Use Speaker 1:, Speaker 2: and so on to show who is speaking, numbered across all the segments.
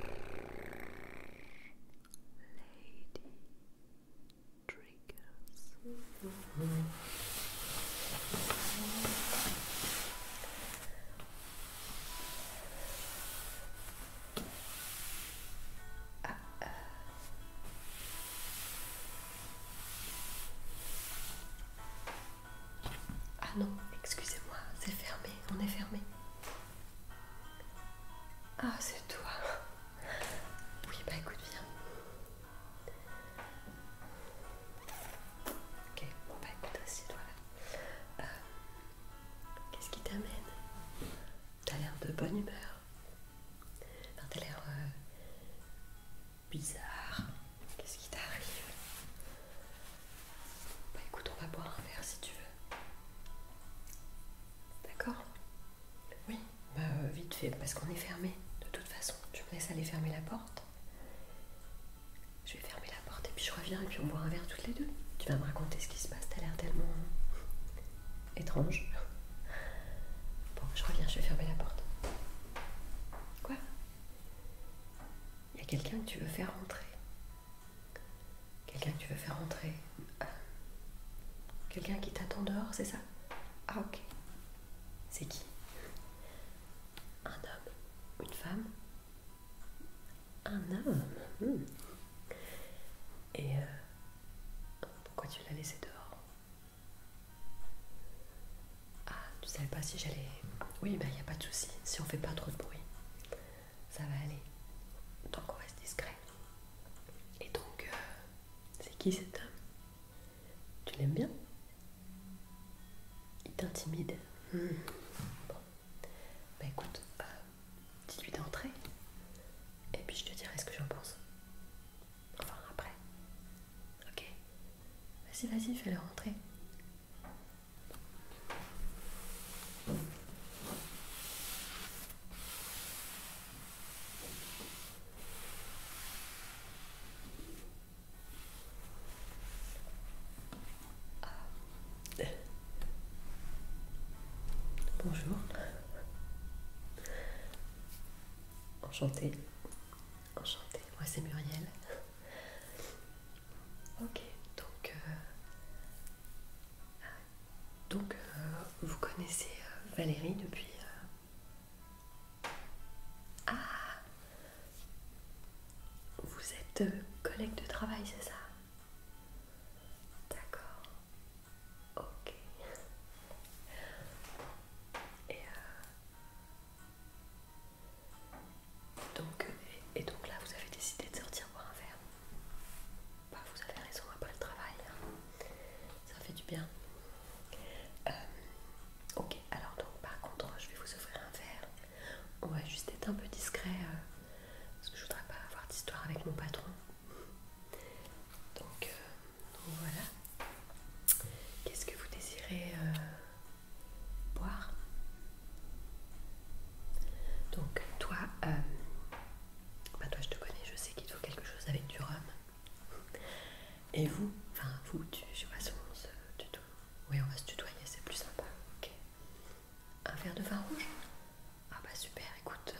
Speaker 1: ah non, excusez-moi, c'est fermé, on est fermé. Ah, c'est toi. Oui, bah écoute, viens. Ok, bon, bah écoute, c'est toi là. Euh, qu'est-ce qui t'amène T'as l'air de bonne humeur. t'as l'air euh, bizarre. Qu'est-ce qui t'arrive bah écoute, on va boire un verre si tu veux. D'accord Oui, bah euh, vite fait, parce qu'on est fermé. De toute façon, tu me laisses aller fermer la porte. Je vais fermer la porte et puis je reviens et puis on boit un verre toutes les deux. Tu vas me raconter ce qui se passe, t'as l'air tellement hein, étrange. Bon, je reviens, je vais fermer la porte. Quoi Il y a quelqu'un que tu veux faire entrer. Quelqu'un que tu veux faire entrer ah. Quelqu'un qui t'attend dehors, c'est ça Ah ok. C'est qui Un homme Une femme Un homme hmm. Et euh, pourquoi tu l'as laissé dehors Ah, tu savais pas si j'allais... Oui, mais bah, il n'y a pas de souci, si on fait pas trop de bruit ça va aller. Donc on reste discret. Et donc, euh, c'est qui cet homme Tu l'aimes bien Il t'intimide. Hmm. bah écoute, euh, dis-lui d'entrer. Et puis je te dirai ce que j'en pense. Enfin, après. Ok Vas-y, vas-y, fais-le rentrer. Bonjour. Enchantée. Enchantée. Moi, c'est Muriel. Ok, donc... Euh, donc, euh, vous connaissez euh, Valérie depuis. Euh, ah Vous êtes collègue de travail, c'est ça D'accord. Ok. Et, donc, donc là, vous avez décidé de sortir pour un verre bah, vous avez raison, après le travail, hein. ça fait du bien. Euh, ok, alors donc par contre, je vais vous offrir un verre. On va juste être un peu discret euh, parce que je voudrais pas avoir d'histoire avec mon patron. Donc, euh, voilà. Qu'est-ce que vous désirez boire donc toi, euh, bah toi je te connais, je sais qu'il te faut quelque chose avec du rhum. Et vous, enfin vous, je sais pas si on se tutoie. Oui, on va se tutoyer, c'est plus sympa. Un verre de vin rouge Ah bah super, écoute.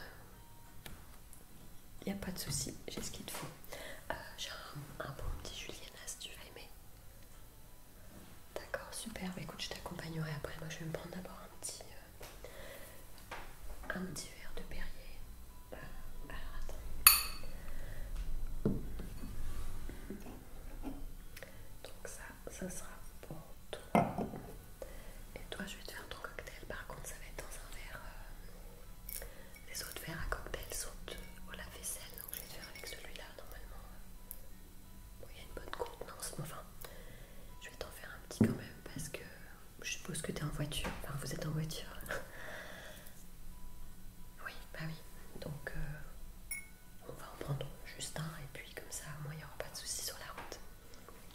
Speaker 1: Il euh, n'y a pas de souci, j'ai ce qu'il te faut. Euh, j'ai un, bon petit Si tu vas aimer. D'accord, super. Bah, écoute, je t'accompagnerai après. Moi, je vais me prendre d'abord un petit, euh, un petit verre de Perrier. Euh, attends. Donc ça, ça sera pour toi. Et toi, je vais te faire ton cocktail. Par contre, ça va être dans un verre. les euh, autres verres à cocktail sont au lave-vaisselle, donc je vais te faire avec celui-là normalement il y a une bonne contenance, enfin, je vais t'en faire un petit quand même parce que je suppose que t'es en voiture, enfin vous êtes en voiture. oui, bah oui, donc euh, on va en prendre juste un et puis comme ça, au moins il n'y aura pas de soucis sur la route.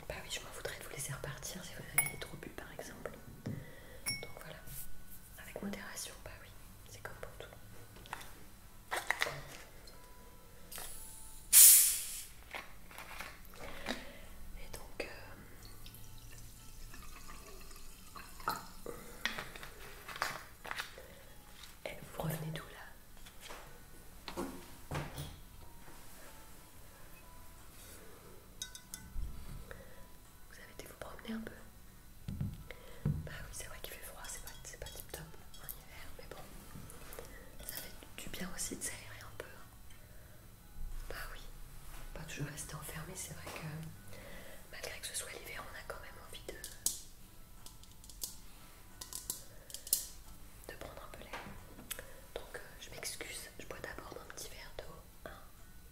Speaker 1: Bah oui, je m'en voudrais de vous laisser repartir si vous avez trop bu par exemple. Donc voilà, avec modération, bah oui, c'est comme pour tout. Et donc... Euh, eh, vous revenez d'où là Vous avez été vous promener un peu Bah oui c'est vrai qu'il fait froid, c'est pas, pas tip top mais bon, ça fait du bien aussi de s'aérer un peu. Hein. Bah oui, pas toujours rester enfermé, c'est vrai que malgré que ce soit l'hiver, on a quand même envie de de prendre un peu l'air. Donc euh, je m'excuse, je bois d'abord un petit verre d'eau, hein,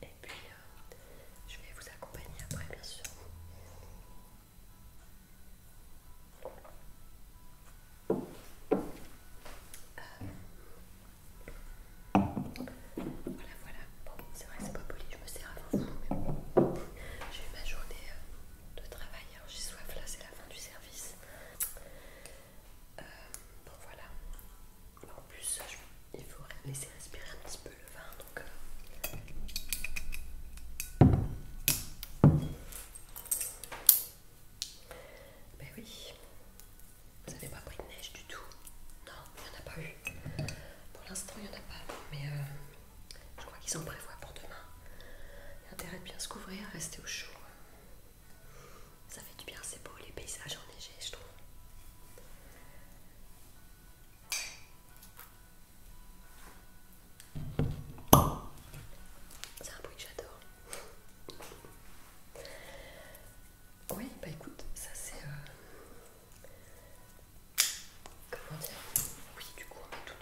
Speaker 1: et puis euh, je vais vous accompagner après bien sûr. Euh, voilà, voilà. Bon, c'est vrai, que c'est pas poli, je me sers avant vous, mais J'ai eu ma journée euh, de travail, alors j'ai soif là, c'est la fin du service. Euh, bon, voilà. En plus, il faut laisser respirer un petit peu le vin, donc. Ben oui, vous avez pas pris de neige du tout. Non, il n'y en a pas eu. Pour l'instant, il n'y en a pas, mais euh, je crois qu'ils en prévoient pour demain. Il intérêt de bien se couvrir, rester au chaud. Ça fait du bien, c'est beau, les paysages enneigés, je trouve. C'est un bruit que j'adore. Oui, bah écoute, ça c'est. Euh, comment dire Oui, du coup, on met tous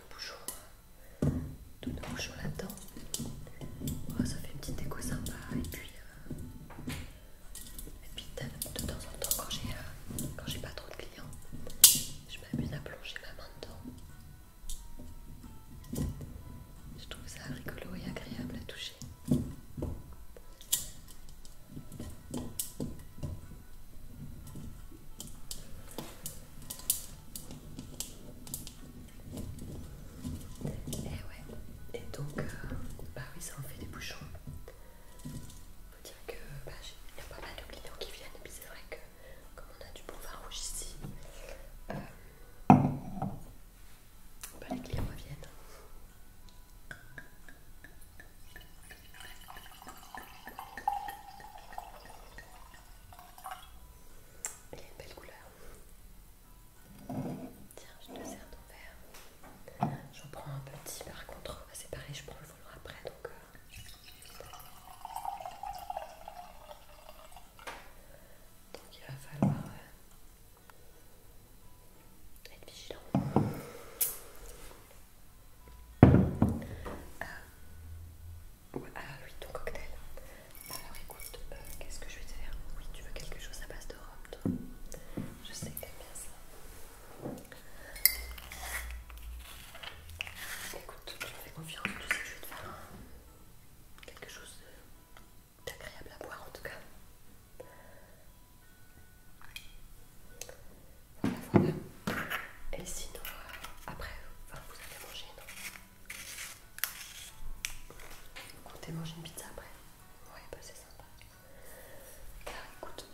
Speaker 1: nos bouchons, tous nos là-dedans. ça fait une petite déco sympa. Et puis, euh, puis de temps en temps, euh, quand j'ai pas trop de clients, je m'amuse à plonger ma main dedans. Je trouve ça rigolo et agréable à toucher. Et eh ouais, et donc, euh, bah oui, ça en fait des bouchons. Faut dire que bah, il y a pas mal de clients qui viennent, et puis c'est vrai que comme on a du bon rouge ici, euh, aller bah, que les clients reviennent. Il y a une belle couleur. Tiens, je te sers ton verre. J'en prends un petit par contre. Bah, c'est pareil, je prends le volant après donc. Euh. Donc il va falloir euh, être vigilant. Ah. ah. oui, ton cocktail. Alors écoute, euh, qu'est-ce que je vais te faire Oui, tu veux quelque chose à base de rhum, toi Je sais que bien ça. Écoute, tu me fais confiance, tu sais que je vais te faire quelque chose d'agréable à boire en tout cas. Voilà, Et sinon, après, vous allez manger, non Vous comptez manger une pizza après Ouais, bah c'est sympa. Alors écoute,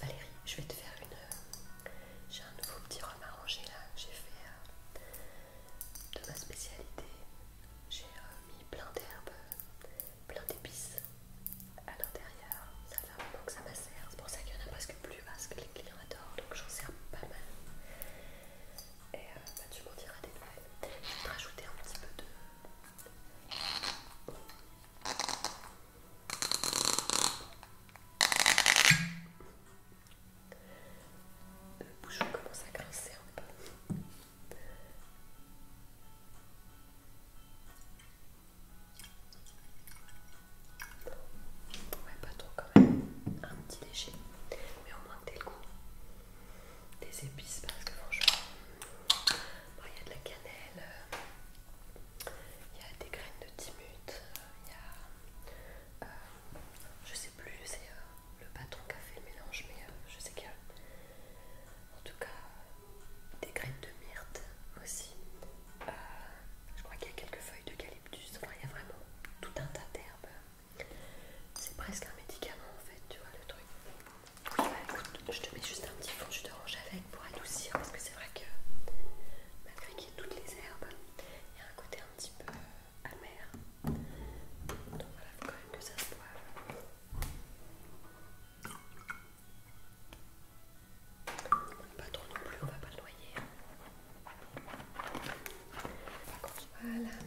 Speaker 1: Valérie, je vais te faire une. Euh, j'ai un nouveau petit rhum arrangé là. J'ai fait. Euh, de ma spécialité. J'ai euh, mis plein d'herbes, plein d'épices à l'intérieur. Ça fait un moment que ça macère, c'est pour ça qu'il y en a presque plus parce que les clients adorent, donc j'en sers pas mal. Et euh, bah, tu m'en diras des nouvelles. Je vais te rajouter un petit peu de... Le bouchon commence à grincer un peu. Ouais, pas trop quand même. Un petit léger. Mais au moins que le goût des épices parce que franchement, il y a de la cannelle, euh, il y a des graines de timut, euh, il y a euh, je sais plus, c'est euh, le patron qui a fait le mélange, mais euh, je sais qu'il y a en tout cas des graines de myrte aussi. je crois qu'il y a quelques feuilles d'eucalyptus. Enfin, il y a vraiment tout un tas d'herbes. C'est presque un médicament en fait, tu vois le truc. Bah, je te mets juste un petit fond de te range avec pour adoucir parce que c'est vrai que malgré qu'il y ait toutes les herbes, il y a un côté un petit peu amère. Donc voilà, il faut quand même que ça se boive. Pas trop non plus, on va pas le noyer. Hein. Voilà.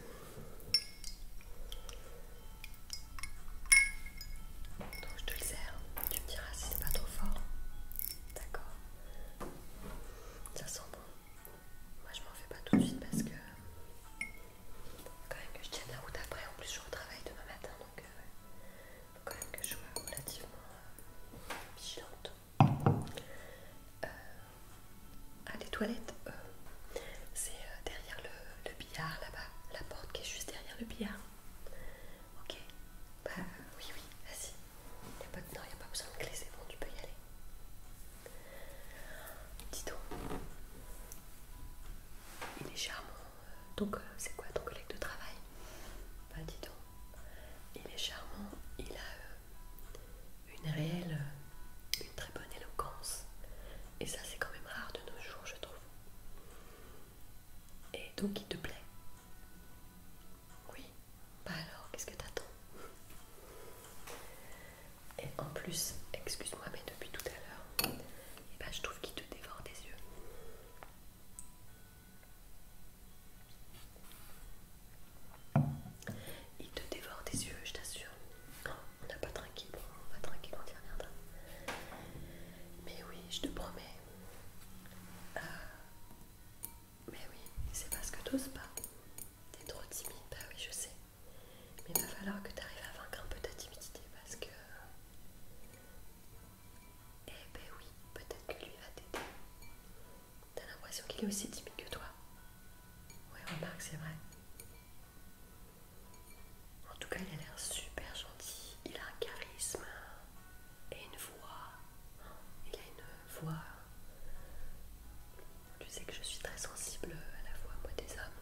Speaker 1: Donc je te le sers, tu me diras si c'est pas trop fort. D'accord Ça sent bon. Moi je m'en fais pas tout de suite parce que quand même que je tienne la route après, en plus je retravaille demain matin donc il euh, faut quand même que je sois relativement euh, vigilante. Euh, ah, les toilettes, c'est derrière le, le billard là-bas, la porte qui est juste derrière le billard. Ok Bah oui, oui, vas-y non, il n'y a pas besoin de clé, bon, tu peux y aller. Dis donc, il est charmant. Donc, euh, c'est quoi ton collègue de travail Bah, dis donc, il est charmant, il a euh, une réelle, euh, une très bonne éloquence. Et ça, c'est quand même rare de nos jours, je trouve. Et donc, il te plaît Oui, bah alors, qu'est-ce que t'attends Et en plus, excuse-moi, mais depuis tout à l'heure, bah, je trouve qu'il te dévore des yeux. Il te dévore des yeux, je t'assure. Oh, on n'a pas trinqué, on va trinquer quand il reviendra. Mais oui, je te promets, euh, mais oui, c'est parce que t'oses pas. T'es trop timide, bah oui, je sais. Mais il va falloir que tu arrives à vaincre un peu ta timidité parce que. Eh ben oui, peut-être que lui va t'aider. T'as l'impression qu'il est aussi timide que toi. Oui, remarque, c'est vrai. En tout cas, il a l'air super gentil. Il a un charisme et une voix. Il a une voix. Tu sais que je suis très sensible à la voix, moi, des hommes.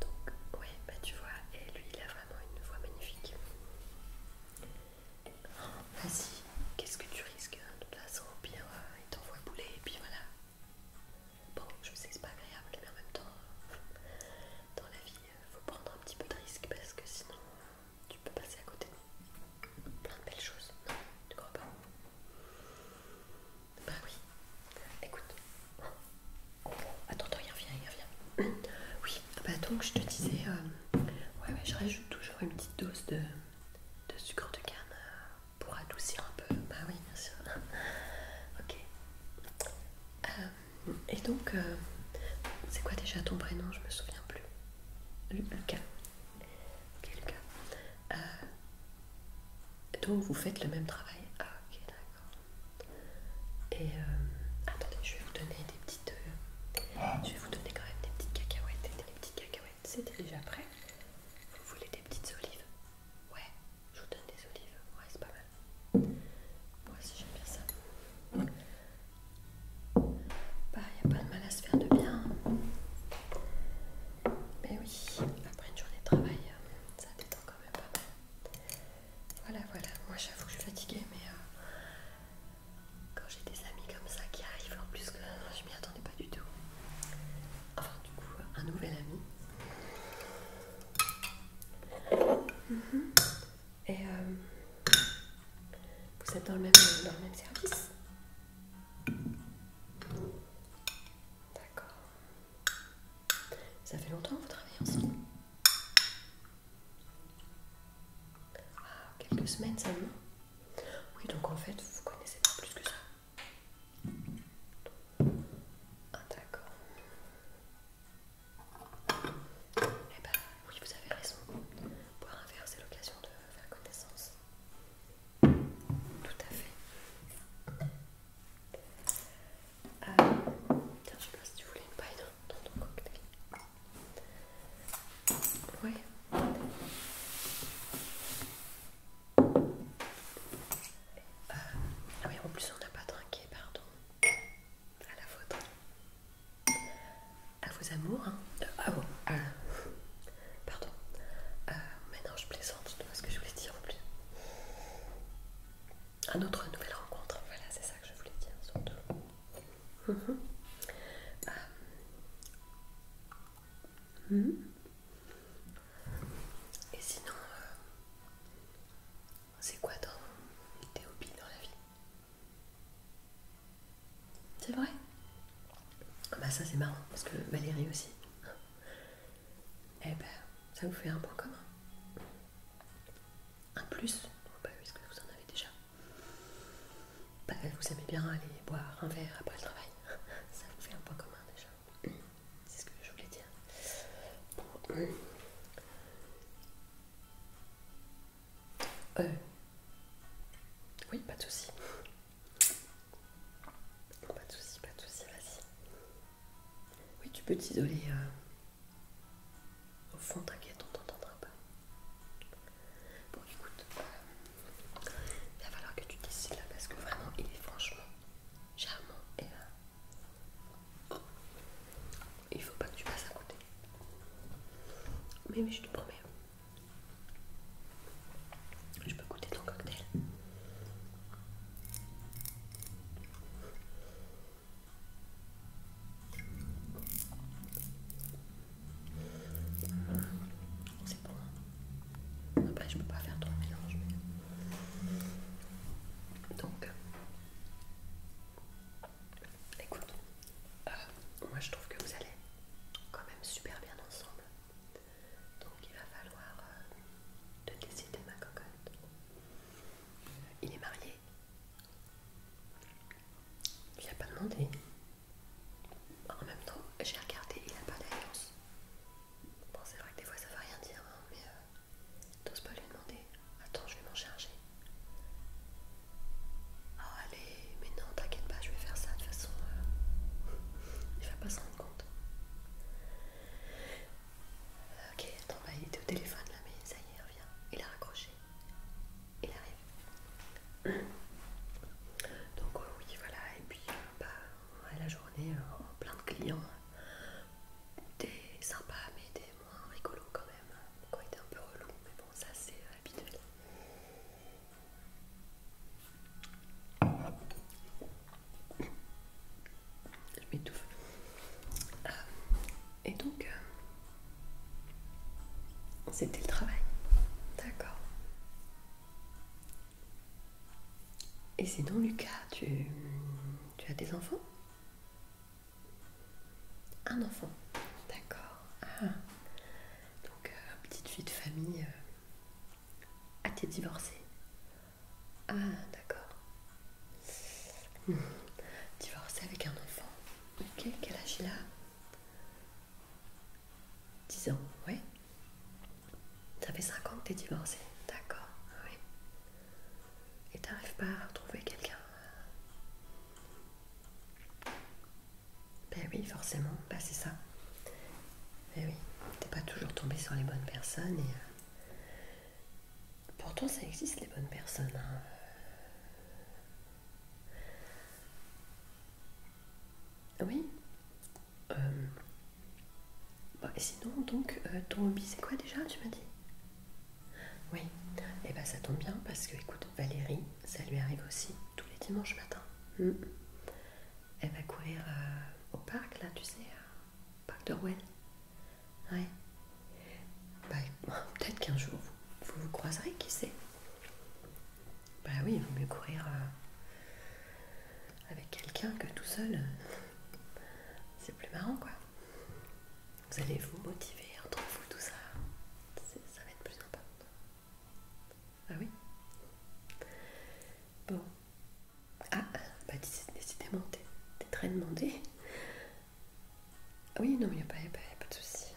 Speaker 1: Donc, ouais, bah tu vois, et lui, il a vraiment une voix magnifique. Vas-y, qu'est-ce que tu risques hein, De toute façon, au pire, euh, il t'envoie bouler, et puis voilà. Bon, je sais, c'est pas agréable, mais en même temps, dans la vie, euh, faut prendre un petit peu de risque parce que sinon, euh, tu peux passer à côté de plein de belles choses. tu crois pas Bah oui. Écoute. Attends, attends, viens, viens il Oui, ah bah donc je te disais, euh, ouais, ouais, je rajoute toujours une petite dose de, sucre de canne euh, pour adoucir un peu. Bah oui, bien sûr. ok. Euh, et donc, c'est quoi déjà ton prénom Je me souviens plus. Lucas. Ok, Lucas. Euh, donc vous faites le même travail. Ah ok d'accord. Et euh, attendez, je vais vous donner des petites. Euh, ah. je vais vous donner quand même des petites cacahuètes. Et c'est déjà prêt. Vous voulez des petites olives Ouais, je vous donne des olives. Ouais, c'est pas mal. Moi aussi j'aime bien ça. Bah, il n'y a pas de mal à se faire de bien. Hein. Mais oui, après une journée de travail, euh, ça détend quand même pas mal. Voilà, voilà. Moi, j'avoue que je suis fatiguée, mais euh, quand j'ai des amis comme ça qui arrivent, en plus que je m'y attendais pas du tout. Enfin, du coup, un nouvel ami. Mm-hmm. Et euh, vous êtes dans le dans le même service D'accord. Ça fait longtemps que vous travaillez ensemble ah, quelques semaines seulement Oui, donc en fait, vous connaissez pas plus que ça. Ah, d'accord. Eh ben, oui, vous avez raison. Pour un verre, c'est l'occasion de faire connaissance. Tout à fait. Euh, tiens, je sais pas si tu voulais une paille dans, ton cocktail. Ouais. Ah oui, en plus on n'a pas trinqué, pardon. À la vôtre. À vos amours, hein. ah euh, bon, Pardon. Euh, Maintenant je plaisante, je ce que je voulais dire en plus. Un autre nouvelle rencontre, voilà, c'est ça que je voulais dire surtout. Mm-hmm. Euh, hmm. Et sinon, euh, c'est quoi dans tes dans la vie C'est vrai ah bah ça c'est marrant parce que Valérie aussi. Eh ben ça vous fait un point commun. Un plus, est est-ce que vous en avez déjà. Bah, vous aimez bien aller boire un verre après le travail. Ça vous fait un point commun déjà. C'est ce que je voulais dire. Euh. Oui, pas de soucis. Pas de soucis, pas de soucis, vas-y. Oui, tu peux t'isoler. Euh, au fond, t'inquiète, on t'entendra pas. Bon, écoute, il euh, va falloir que tu décides là parce que vraiment, il est franchement charmant et. Euh, il faut pas que tu passes à côté. Mais, mais je te promets. Je peux goûter ton cocktail. C'est bon. Hein Après, je peux pas faire trop mélange. Donc, écoute, euh, moi je trouve que vous allez quand même super bien ensemble. Donc il va falloir De euh, te décider ma cocotte. Il est marié. Il a pas demandé. En même temps, j'ai regardé, il n'a pas d'alliance. Bon, c'est vrai que des fois ça va rien dire, hein, mais tu euh, t'oses pas lui demander. Attends, je vais m'en charger. Oh allez, mais non, t'inquiète pas, je vais faire ça de toute façon. Euh, il va pas se rendre compte. Ok, attends, bah, il était au téléphone là, mais ça y est, il revient. Il a raccroché. Il arrive. Donc euh, oui, voilà, et puis euh, bah, la journée, euh, plein de clients. Des sympas, mais des moins rigolos quand même. Donc hein. était un peu relou, mais bon, ça c'est habituel. Je m'étouffe. Euh, et donc, euh, c'était le travail. D'accord. Et c'est donc Lucas, tu, tu as des enfants Un enfant. D'accord. Ah. Donc, euh, petite fille de famille. Ah, t'es divorcée Ah, d'accord. Hmm. Divorcé avec un enfant. Ok, quel âge il a 10 ans, oui. Ça fait 5 ans que t'es divorcée, d'accord, oui. Et t'arrives pas à trouver quelqu'un Ben oui, forcément, ben c'est ça. Mais eh oui, t'es pas toujours tombé sur les bonnes personnes. Et... Euh, pourtant, ça existe les bonnes personnes. Hein. Oui. Euh... Bah, et sinon, donc, euh, ton hobby, c'est quoi déjà, tu m'as dit Oui. Et bah ben, ça tombe bien parce que, écoute, Valérie, ça lui arrive aussi tous les dimanches matins. Hmm. Elle va courir euh, au parc, là, tu sais, euh, au parc de Rouen. Ouais. Bah, peut-être qu'un jour vous, vous croiserez, qui sait. Bah oui, il vaut mieux courir euh, avec quelqu'un que tout seul. C'est plus marrant, quoi. Vous allez vous motiver entre vous, tout ça. Ça va être plus important. Ah oui Bon. Ah, bah décidément, t'es très demandé. Ah oui, non, il n'y a, pas de souci.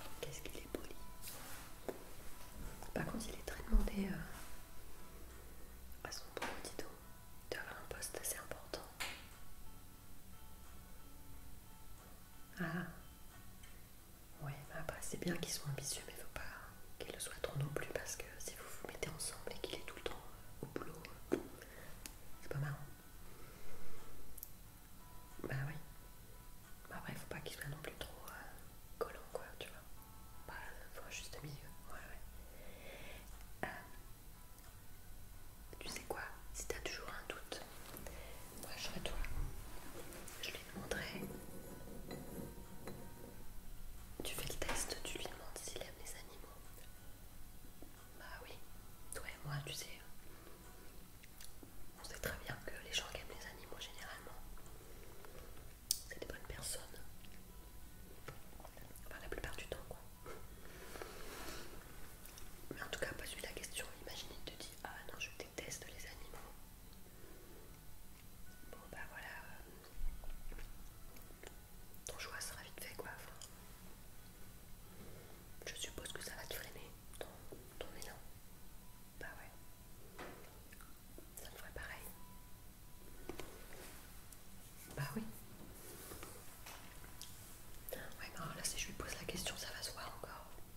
Speaker 1: Oh, qu'est-ce qu'il est poli. Par contre, il est très demandé euh, à son bon De d'avoir un poste assez important. Ah, ouais bah après c'est bien qu'ils soit ambitieux, mais faut pas qu'il le soient trop non plus parce que si vous vous mettez ensemble et qu'il est tout le temps euh, au boulot, euh, c'est pas marrant. Bah oui. Bah après, faut pas qu'il soit non plus trop euh, collant, quoi, tu vois. Bah, faut un juste milieu. Ouais, ouais. tu sais quoi Si t'as toujours un doute, moi je serai toi lui montrer. Tu fais le test, tu lui demandes s'il aime les animaux. Bah oui, toi et moi, tu sais, on sait très bien que les gens qui aiment les animaux généralement, c'est des bonnes personnes. Enfin, la plupart du temps, quoi. Mais en tout cas, pose-lui la question. Imagine, te Ah non, je déteste les animaux. Bon bah voilà. Ton choix sera vite fait quoi. je suppose que ça va te freiner ton, ton élan. Bah ouais. Ça me ferait pareil. Bah oui. Ouais, là, si je lui pose la question, ça va se voir encore.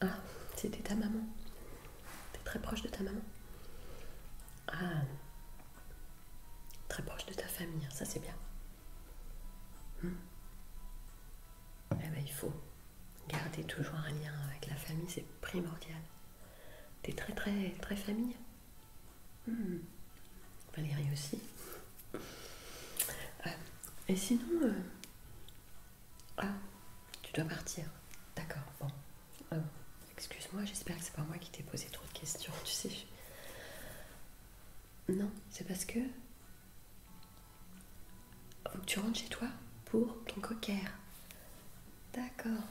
Speaker 1: Ah, c'était ta maman. T'es très proche de ta maman. Ah, très proche de ta famille, hein, ça c'est bien. Hmm. Eh ben, il faut garder toujours un lien avec la famille, c'est primordial. T'es très très très famille. Hmm. Valérie aussi. Euh, et sinon, euh, ah, tu dois partir. D'accord, bon. Oh, excuse-moi, j'espère que c'est pas moi qui t'ai posé trop de questions, tu sais. Non, c'est parce que. Faut que tu rentres chez toi pour ton cocker. D'accord.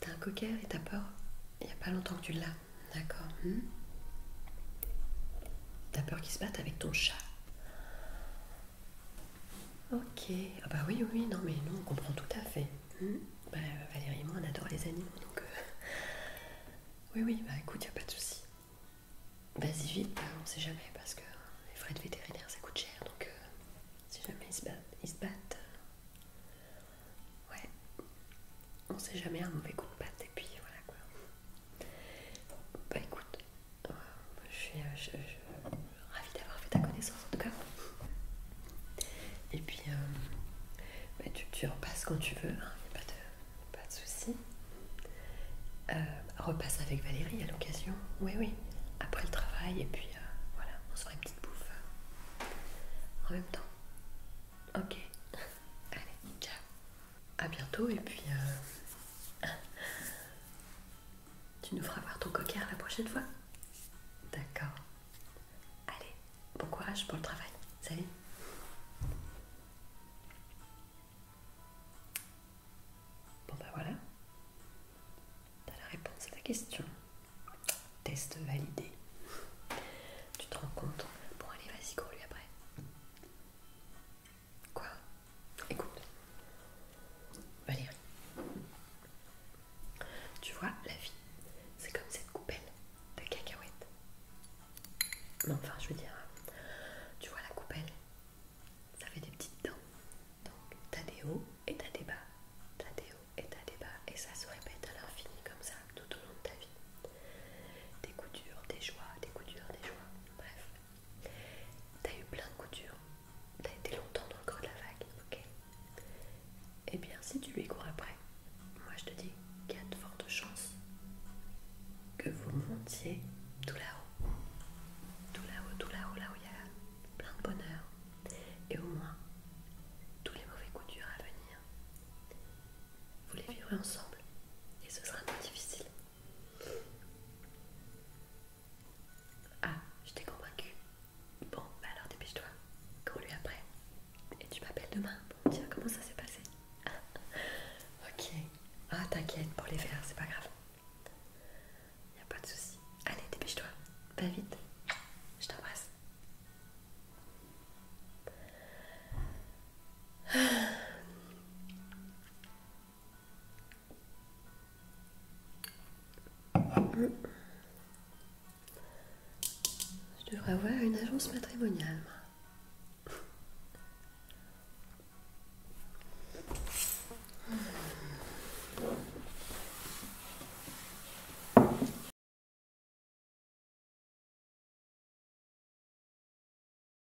Speaker 1: T'as un cocker et t'as peur Il n'y a pas longtemps que tu l'as. D'accord. Hmm. T'as peur qu'il se batte avec ton chat Ok, ah bah oui, oui, non, mais nous on comprend tout à fait. Hmm. bah, Valérie et moi on adore les animaux donc. Euh, oui, oui, bah écoute, y a pas de souci. Vas-y vite, bah, on sait jamais parce que les frais de vétérinaire ça coûte cher donc euh, si jamais ils se, battent, ils se battent. Euh, ouais, on sait jamais un mauvais coup de patte et puis voilà quoi bah écoute, euh, euh, je suis ravie d'avoir fait ta connaissance en tout cas. Et puis, euh, bah, tu, repasses quand tu veux, hein, pas de, pas soucis. repasse avec Valérie à l'occasion, oui, oui, après le travail, et puis voilà, on se fait une petite bouffe en même temps. Ok, allez, ciao! à bientôt et puis euh, tu nous feras voir ton coquère la prochaine fois. D'accord. Allez, bon courage pour le travail. Salut. Bon bah voilà. T'as la réponse à ta question. Test validé. Tu te rends compte Bon allez, vas-y, cours lui après. Quoi Écoute, Valérie, tu vois, la vie, c'est comme cette coupelle de cacahuètes. Mais enfin, je veux dire, tu vois la coupelle, ça fait des petites dents. Donc, t'as des hauts et t'as des bas, t'as des hauts et t'as des bas, et ça se répète à l'infini comme ça tout au long de ta vie. Des coups durs, des joies, des coups durs, des joies, bref. T'as eu plein de coups coutures, t'as été longtemps dans le creux de la vague, ok Eh bien, si tu lui cours après, moi je te dis qu'il y a de fortes chances que vous montiez tout là-haut. Tout là-haut, tout là-haut, là où il y a plein de bonheur. Et au moins, tous les mauvais coups durs à venir, vous les vivrez ensemble. Et ce sera moins difficile. Ah, je t'ai convaincu. Bon, bah alors dépêche-toi, qu'on lui après. Et tu m'appelles demain pour me dire comment ça s'est passé. ok. Ah, t'inquiète, pour les faire, c'est pas grave. Y a pas de souci. Allez, dépêche-toi. Va vite. Je t'embrasse. Je devrais avoir une agence matrimoniale.